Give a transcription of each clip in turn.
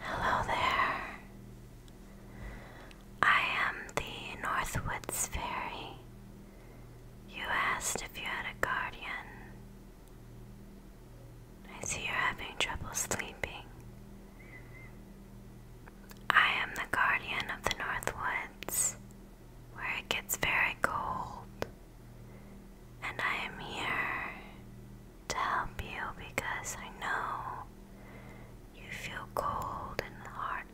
Hello there. I am the Northwoods Fairy. You asked if you had a guardian. I see you're having trouble sleeping. I am the guardian of the Northwoods, where it gets very cold, and I am here to help you because I know you feel cold and hard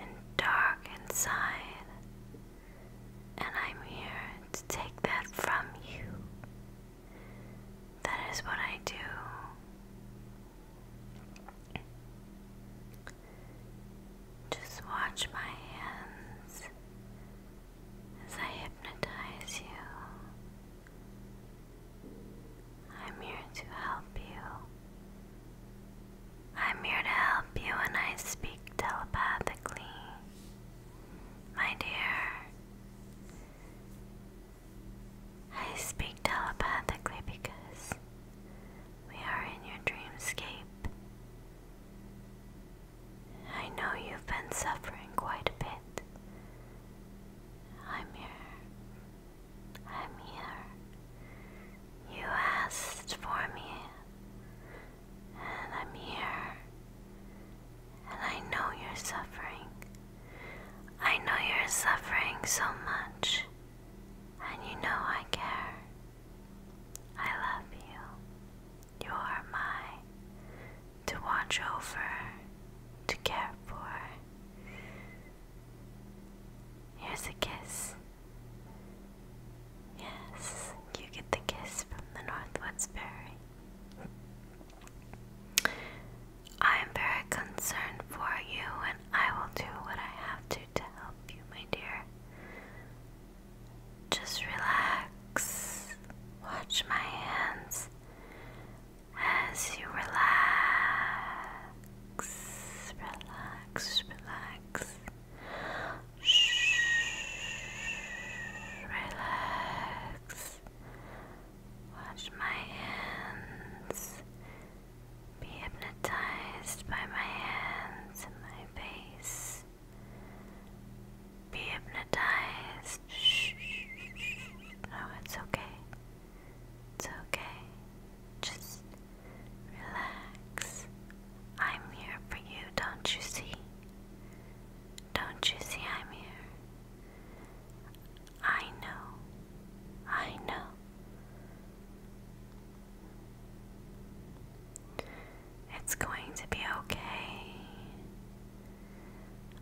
and dark inside, and I'm here to take that from you. That is what I do. Just watch my hands as I hypnotize you. I'm here to help you. I'm here to help you and I speak telepathically. My dear, I speak telepathically because we are in your dreamscape. I know you've been suffering quite a bit I'm here. I'm here. You asked for me. And I'm here. And I know you're suffering. I know you're suffering so much. And you know I care. I love you. You are my to watch over, to care for. Here's a kiss. Yes, you get the kiss from the Northwoods Fairy. I am very concerned for you, and I will do what I have to to help you, my dear. Just relax, watch my hands, as you relax, relax, relax, Shh, relax, watch my hands, be hypnotized by my hands and my face be hypnotized. Shh, No, oh, it's okay. It's okay. Just relax. I'm here for you, don't you see? Don't you see I'm here? I know. I know. It's going to be okay.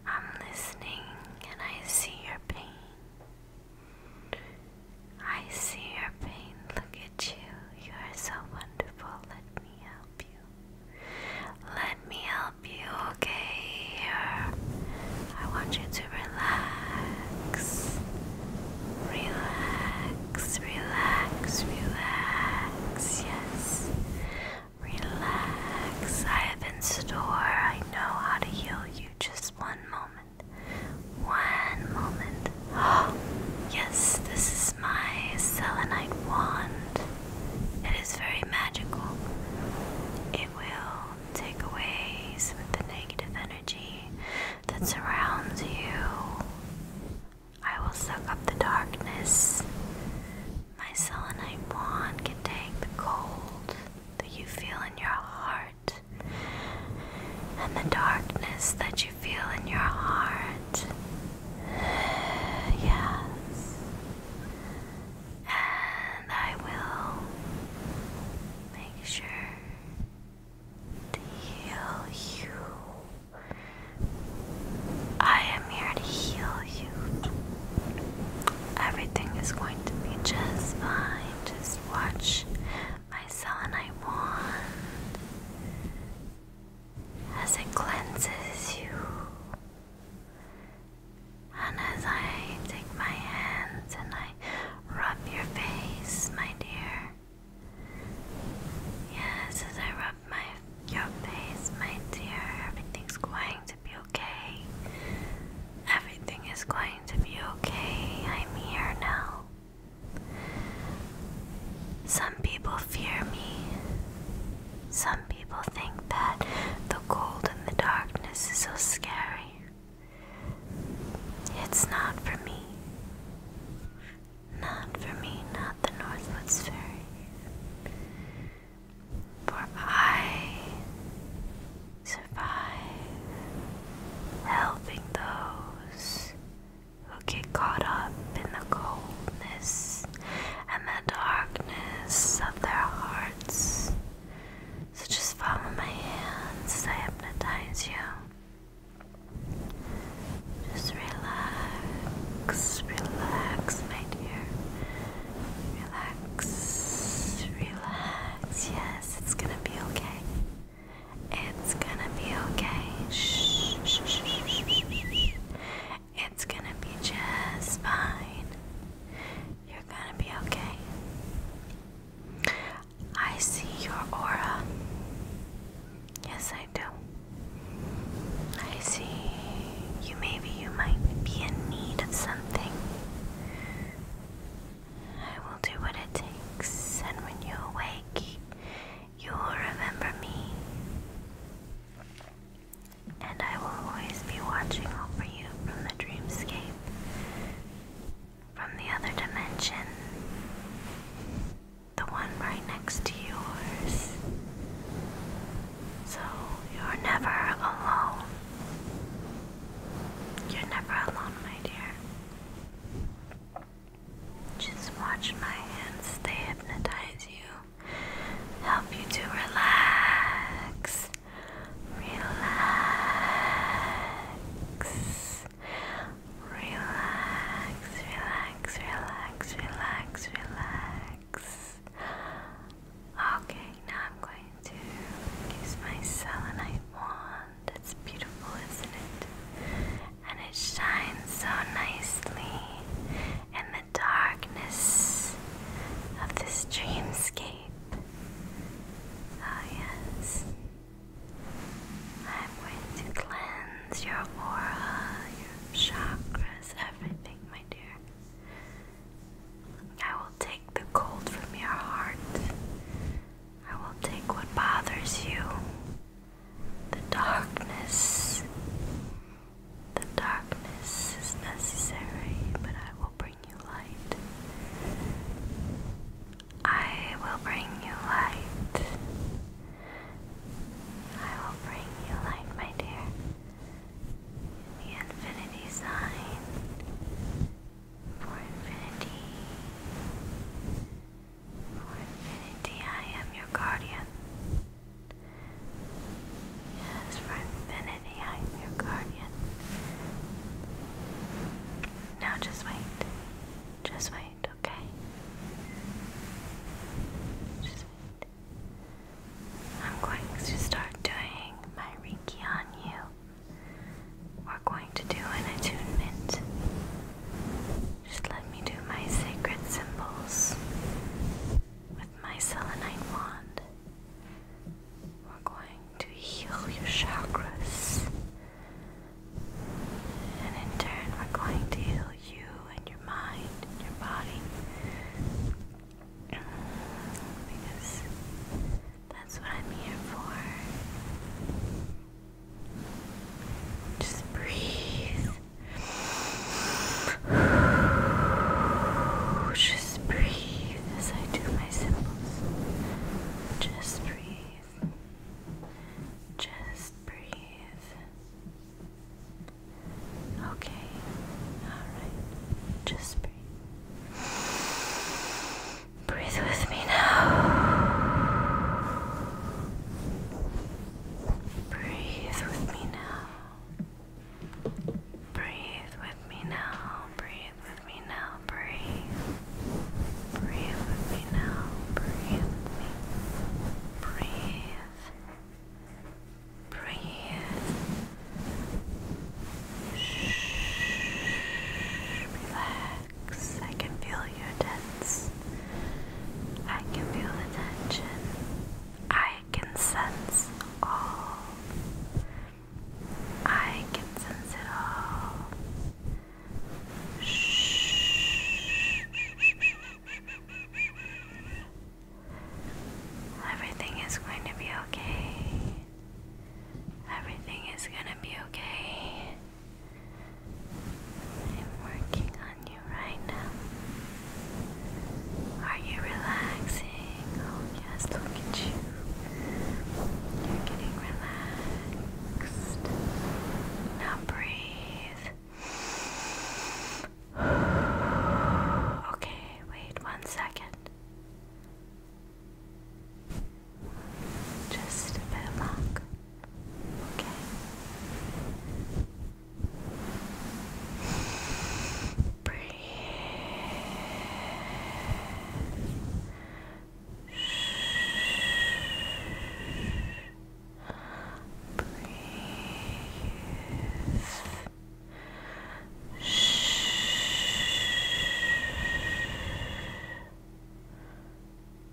I'm listening and I see your pain. I see your pain. Look at you. You are so wonderful. Let me help you. Let me help you, okay? Here. I want you to relax. Relax, relax, relax. Yes. Relax. I have in store. I know how to heal you. Just one moment. One moment. yes, this is my selenite wand. It is very magical. It will take away some of the negative energy that surrounds you. I will suck up the darkness my selenite wand can take the cold that you feel in your heart and the darkness that you feel in your heart. Yes. And I will make sure to heal you. I am here to heal you. Everything is going to be just fine. Just watch my I want, as it cleanses you. And as I take my hands and I rub your face, my dear. Yes, as I rub my your face, my dear, everything's going to be okay? Everything is going to be okay. I'm here now. Some people fear me. Some people think that the cold and the darkness is so scary. It's not for me. Not for me, not the Northwoods Fairy. For I survive helping those who get caught up in the coldness and the darkness of their hearts. So just follow my hands as I hypnotize you. Just relax, relax, my dear. Relax, relax. Yes, it's gonna be okay. It's gonna be okay. Shh, shh, shh, shh, shh, shh. It's gonna be just fine. You're gonna be okay. I see your aura. Yes, I do. I see you maybe you might be in need of something. I will do what it takes, and when you wake, you will remember me. And I will always be watching over you from the dreamscape, from the other dimension, the one right next to yours. So you're never alone. You're never alone, my dear. Just watch my hands, they hypnotize you, help you to relax. Relax. Relax, relax, relax, relax, relax. Okay, now I'm going to use my selenite wand. It's beautiful, isn't it? And it shines so nicely in the darkness of this dreamscape. Oh, yes. I'm going to cleanse your aura, your chakras, everything, my dear. I will take the cold from your heart. I will take what bothers you. The darkness. The darkness is necessary, but I will bring you light. I will bring you light. I will bring you light, my dear the infinity sign for infinity. For infinity, I am your guardian. Yes, for infinity, I am your guardian. Now just wait. Just wait, okay? Just wait. I'm going to start doing my Reiki on you. We're going to do an attunement. Just let me do my sacred symbols with my selenite wand. We're going to heal your chakras. And in turn, we're going to heal you and your mind and your body because that's what I'm here for. Just breathe. Just breathe as I do my symbols. Just breathe. Just breathe. Okay. Alright. Just breathe. breathe. with me now. Breathe with me now. Breathe with me now. Breathe with me now. Breathe. Breathe with me now. Breathe Breathe. Breathe. Shh, relax. I can feel you tense. I can feel the tension. I can sense all. I can sense it all. Shh. Everything is going to be okay. Everything is gonna be okay. I'm working on you right now. Are you relaxing? Oh, yes, look at you. You're getting relaxed. Now breathe. Okay, wait one second. Just a bit of luck. Okay. Breathe. Breathe.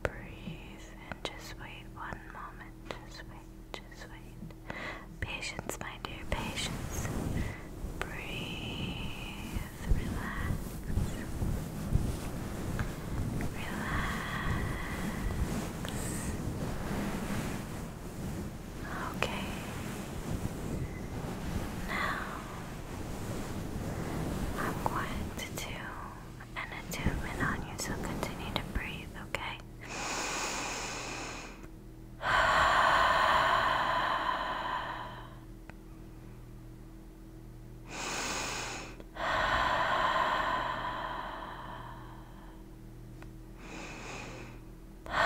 Breathe and just wait one moment. Just wait, just wait. Patience, my dear, patience. Breathe, relax. Relax. Okay. Now I'm going to do an attunement on you, so continue to breathe, okay? Now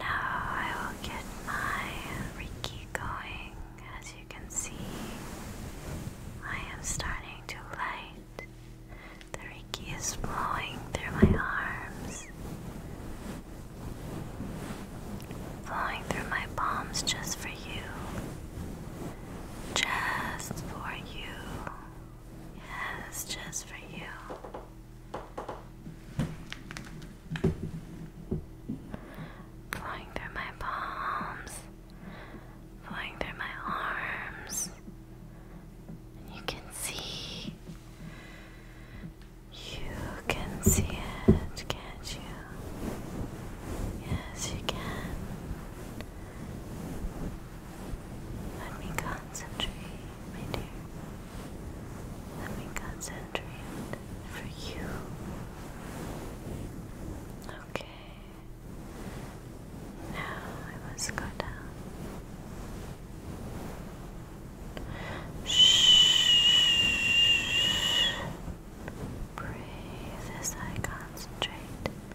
I will get my Reiki going. As you can see, I am starting to light. The riki is flowing through my arms, flowing through my palms just for you. Just for you. Yes, just for you. Flowing through my palms, flowing through my arms. you can see, you can see it, can't you? Yes, you can. Let me concentrate, my dear. Let me concentrate for you. Okay. Now I must go down. Shh. Breathe as I concentrate.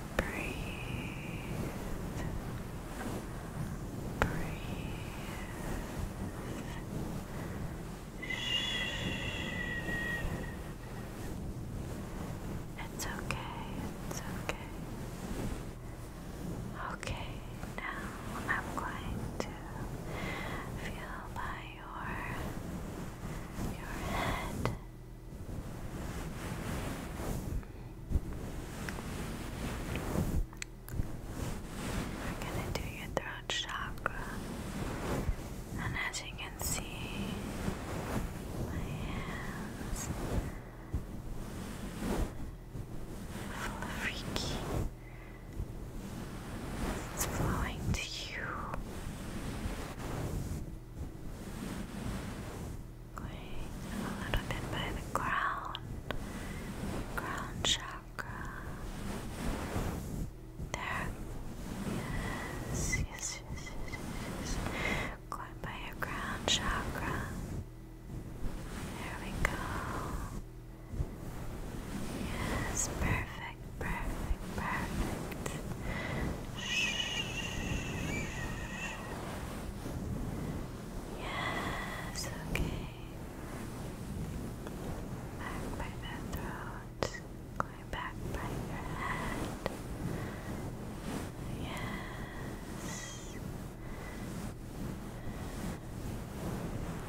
Breathe. Breathe. It's okay. It's okay. Okay, now I'm going to feel by your your head. We're gonna do your throat chakra, and as you can see, my hands full of freaky. It's flowing to you. Going a little bit by the ground, ground chakra. There. Yes, yes, yes, yes, yes. Going by your ground chakra. There we go. Yes, perfect, perfect, perfect. Yes, okay. Back by the throat, going back by your head. Yes.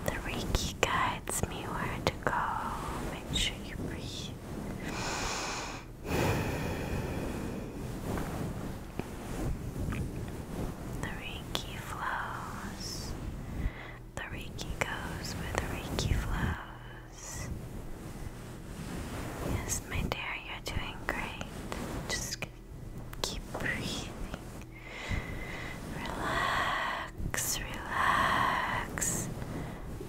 The Reiki guides me where to go. Make sure you breathe. The Reiki flows. The Reiki goes where the Reiki flows. Yes, my dear, you're doing great. Just keep breathing. Relax, relax,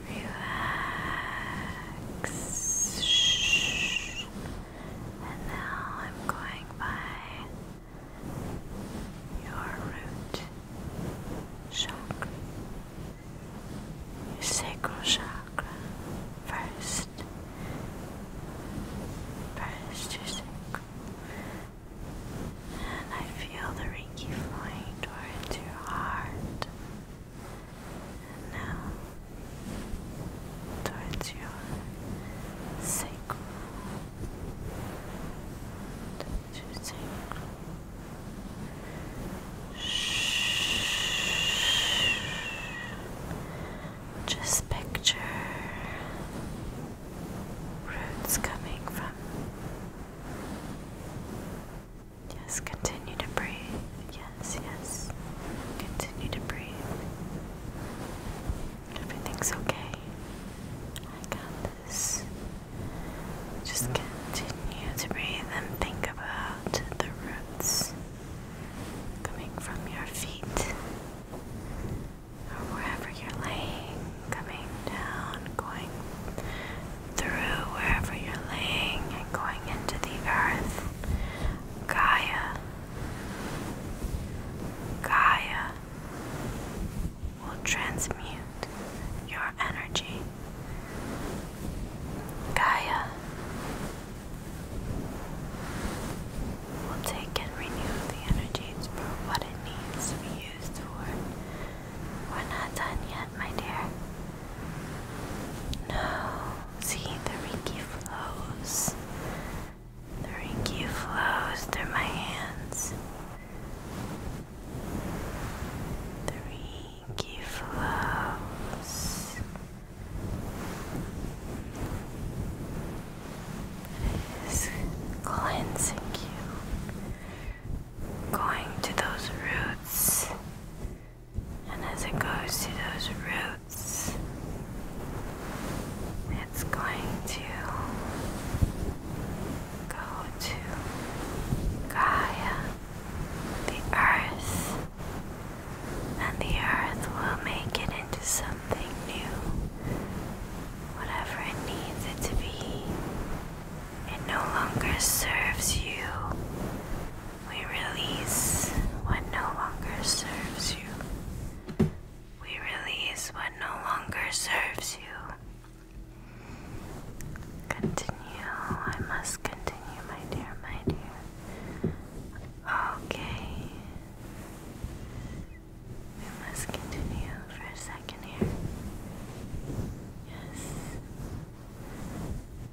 relax. Shh. And now I'm going by your root chakra, your sacral chakra first. First, your sacral. And I feel the Reiki flowing towards your heart now towards your sacral, towards your sacral. Shh. Just picture roots coming from. Yes, continue to breathe. Yes. Yes, yes. Continue to breathe. Everything's okay. I got this. Just continue to breathe and think about the roots coming from your feet or wherever you're laying, coming down, going through wherever you're laying and going into the earth. Gaia, Gaia will transmute your energy. Gaia will take and renew the energies for what it needs to be used for. We're not done yet, my dear. No, See, the Rinky flows. The Rinky flows through my hands. The Rinky flows. It is cleansing you. Going to those roots and as it goes to those roots, it's going to go to Gaia, the earth, and the earth will make it into something new, whatever it needs it to be. It no longer serves you we release what no longer serves you. We release what no longer serves you. Continue. I must continue, my dear, my dear. Okay. We must continue for a second here. Yes.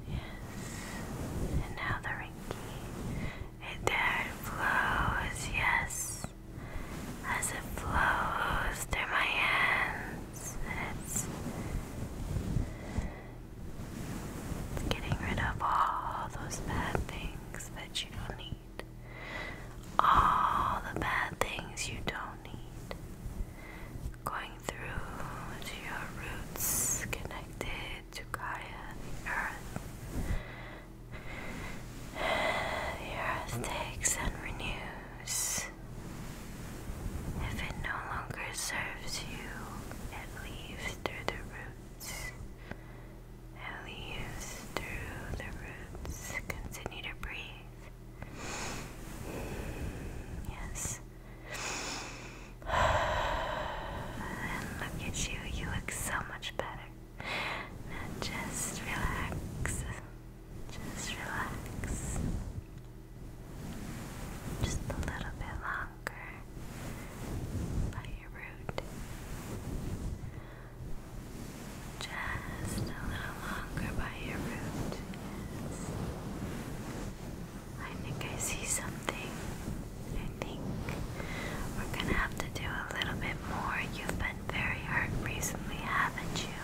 Yes. And now the Rinky. It there It flows, yes, as it flows through my hands. It's, it's getting rid of all those bad things that you don't need. All the bad things you don't need. Going through to your roots, connected to God and the earth. The earth takes and renews. If it no longer serves you, it leaves through the roots. It leaves through the roots. Continue to breathe. Yes and look at you, you look so much better. just relax. Just relax. Just a little bit longer by your root. Just a little longer by your root. I think I see something. I think we're gonna have to do a little bit more. You've been very hurt recently, haven't you?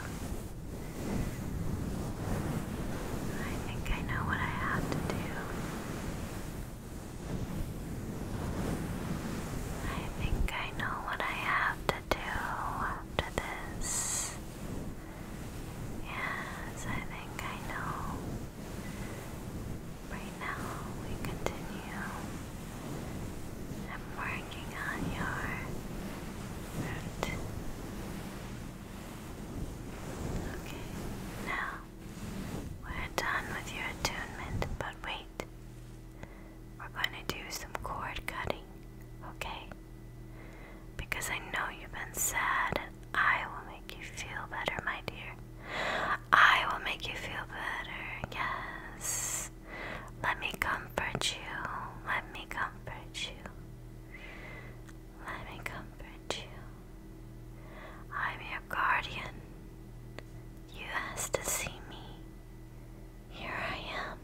I think I know what I have to do. I think I know what I have to do after this. Yes, I think I know. Right now, we continue. I'm working on your root. Okay, now we're done with your attunement, but wait. We're going to do some cord cutting, okay? Because I know you've been sad, and I will make you feel better, my dear. I will make you feel better. Yes. Let me comfort you. Let me comfort you. Let me comfort you. I'm your guardian. You have to see me. Here I am.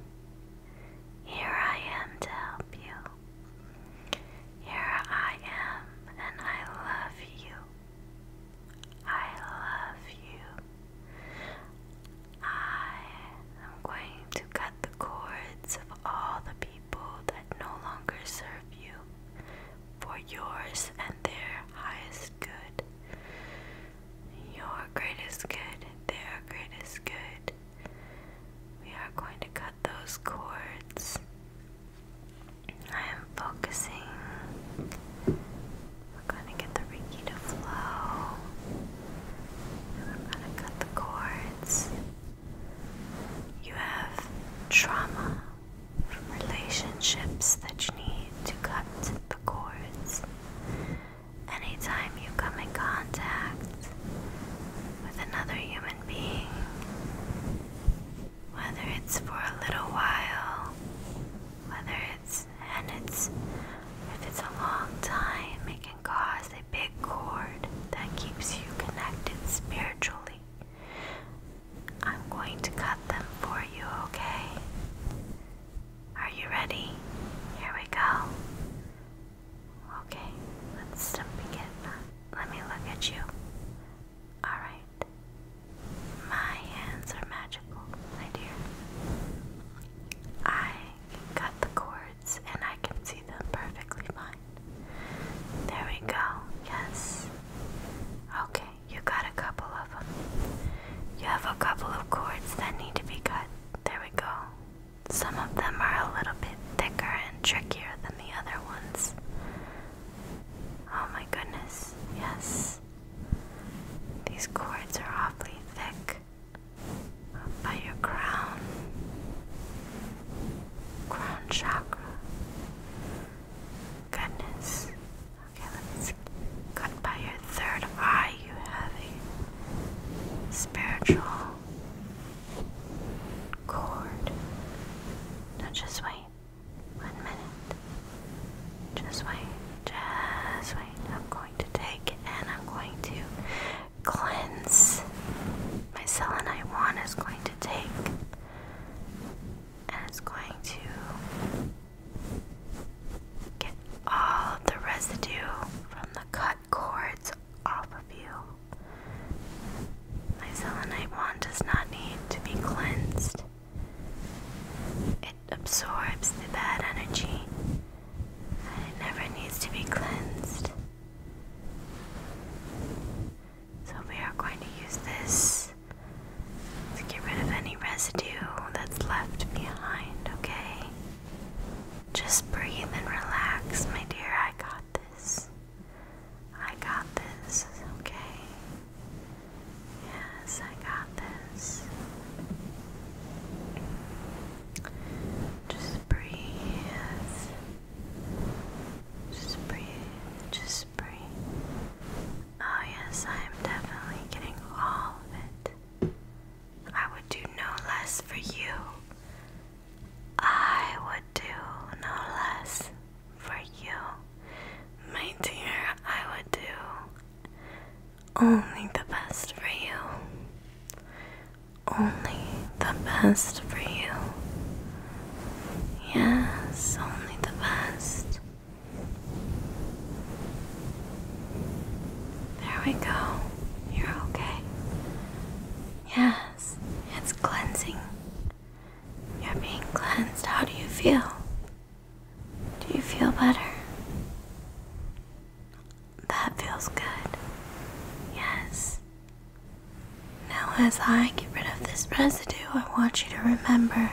Here I am to help you. Here I am, and I love you. I love you. I am going to cut the cords of all the people that no longer serve you for yours and their highest good. Your greatest good, their greatest good. We are going to cut those cords I am focusing. We're going to get the Reiki to flow. And we going to cut the cords. You have trauma from relationships that you need to cut the cords. Anytime you come in contact with another human being, whether it's for a little while, whether it's and it's if it's a long time, it can cause a big cord that keeps you connected spiritually. I'm going to cut them for you, okay? Are you ready? Here we go. Okay, let's begin. Let me look at you. Alright. My hands are magical, my dear. I cut the cords and I can see them perfectly fine. There we go. Yes. Okay, you got a couple of them. You have a couple of cords that need to be cut. There we go. Some of them are a little bit thicker and trickier than the other ones. Oh my goodness, yes. These cords are awfully thick. by your crown, crown chakra. Goodness. Okay, let's cut by your third eye. You have a spiritual cord. just wait. One minute. Just wait. Just wait. I'm going to take and I'm going to cleanse. My selenite wand is going to take and it's going to get all the residue from the cut cords off of you. My selenite wand does not need to be cleansed. It absorbs the bad energy and it never needs to be cleansed. So, we are going to use this to get rid of any residue that's left behind, okay? Just breathe and relax, my dear. I got this. I got this, okay? Yes, I got this. Just breathe. Just breathe. Just breathe. Oh, yes, I am definitely getting all of it. I would do no less for you. I would do no less for you, my dear. I would do only the best for you. Only the best for you. Yes, only the best. There we go. You're okay. Yes, it's cleansing. You're being cleansed. How do you feel? Do you feel better? That feels good. Yes. Now, as I get rid of this residue, I want you to remember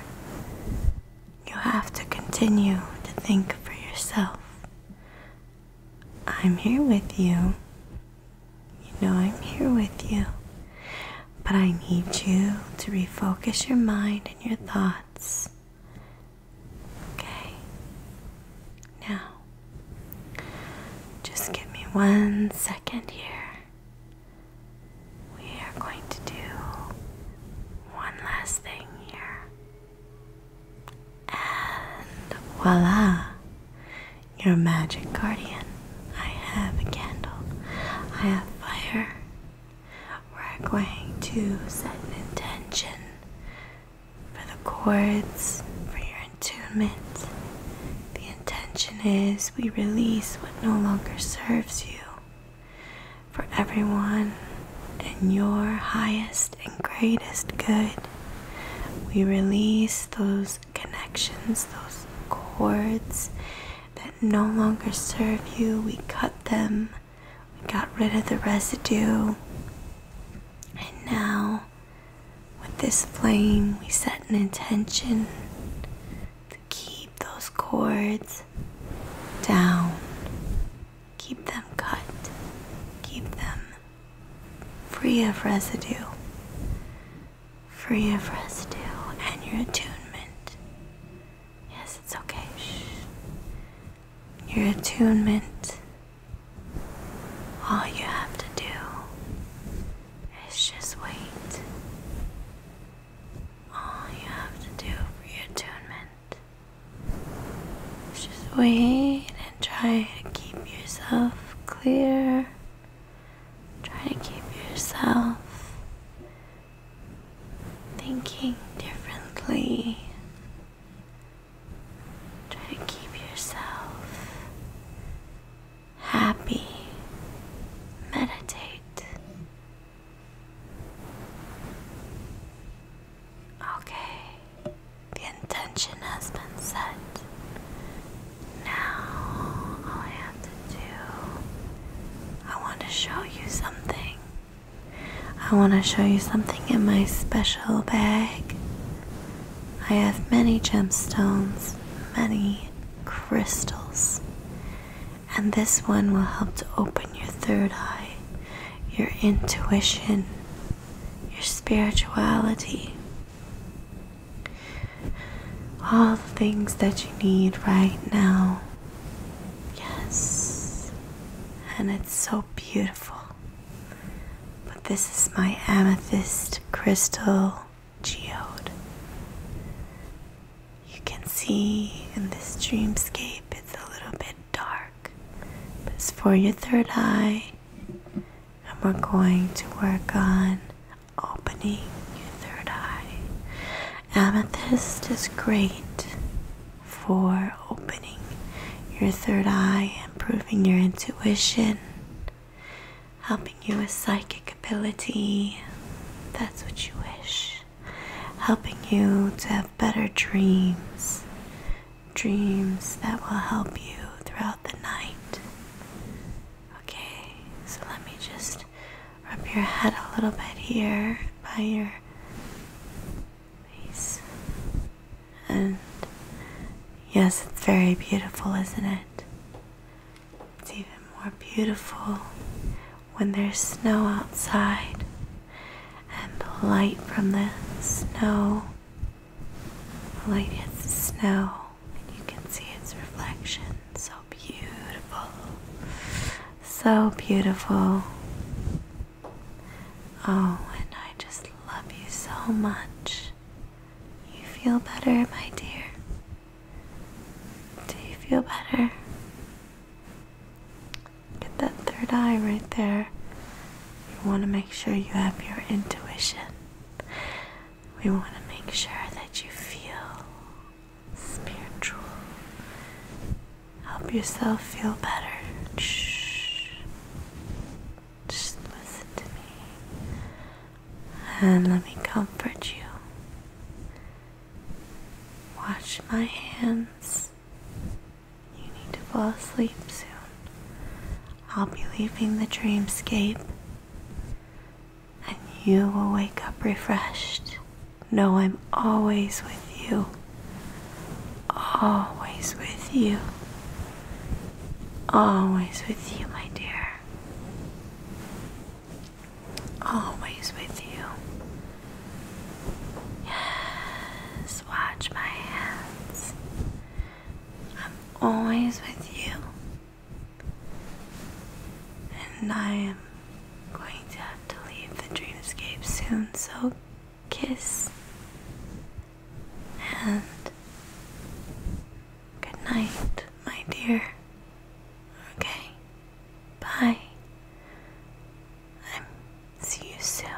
you have to continue to think for yourself. I'm here with you. You know, I'm here with you. But I need you to refocus your mind and your thoughts. Okay. Now, just give me one second here. We are going to do one last thing here. And voila! Your magic guardian. I have a candle. I have fire we're going to set an intention for the chords, for your attunement. The intention is we release what no longer serves you for everyone and your highest and greatest good. We release those connections, those chords that no longer serve you. We cut them, we got rid of the residue, and now with this flame, we set an intention to keep those cords down, keep them cut, keep them free of residue, free of residue, and your attunement Yes, it's okay. Your attunement. All you have to do is just wait. All you have to do for your attunement is just wait and try to keep yourself clear. Try to keep yourself thinking differently. Try to keep yourself happy. Meditate. Okay, the intention has been set. Now I have to I want to show you something. I want to show you something in my special bag. I have many gemstones, many crystals, and this one will help to open your third eye, your intuition, your spirituality. All the things that you need right now Yes, and it's so beautiful. But this is my amethyst crystal geode. You can see in this dreamscape it's a little bit dark, but it's for your third eye, and we're going to work on opening your third eye Amethyst is great for opening your third eye, improving your intuition, helping you with psychic ability. That's what you wish. Helping you to have better dreams. Dreams that will help you throughout the night. Okay, so let me just rub your head a little bit here by your face. And yes, it's very beautiful, isn't it? It's even more beautiful when there's snow outside and the light from the snow. The light hits the snow, and you can see its reflection. So beautiful. So beautiful. Oh, and I just love you so much. You feel better, my dear? Do you feel better? Get that third eye right there. You want to make sure you have your intuition. We want to make sure that you feel spiritual. Help yourself feel better. Shh. Just listen to me. And let me comfort you. Wash my hands. You need to fall asleep soon. I'll be leaving the dreamscape, and you will wake up refreshed. No, I'm always with you. Always with you. Always with you, my dear. Always with you. Yes, watch my hands. I'm always with you. And I am going to have to leave the dreamscape soon, so kiss and good night, my dear. Okay, bye. I'm see you soon.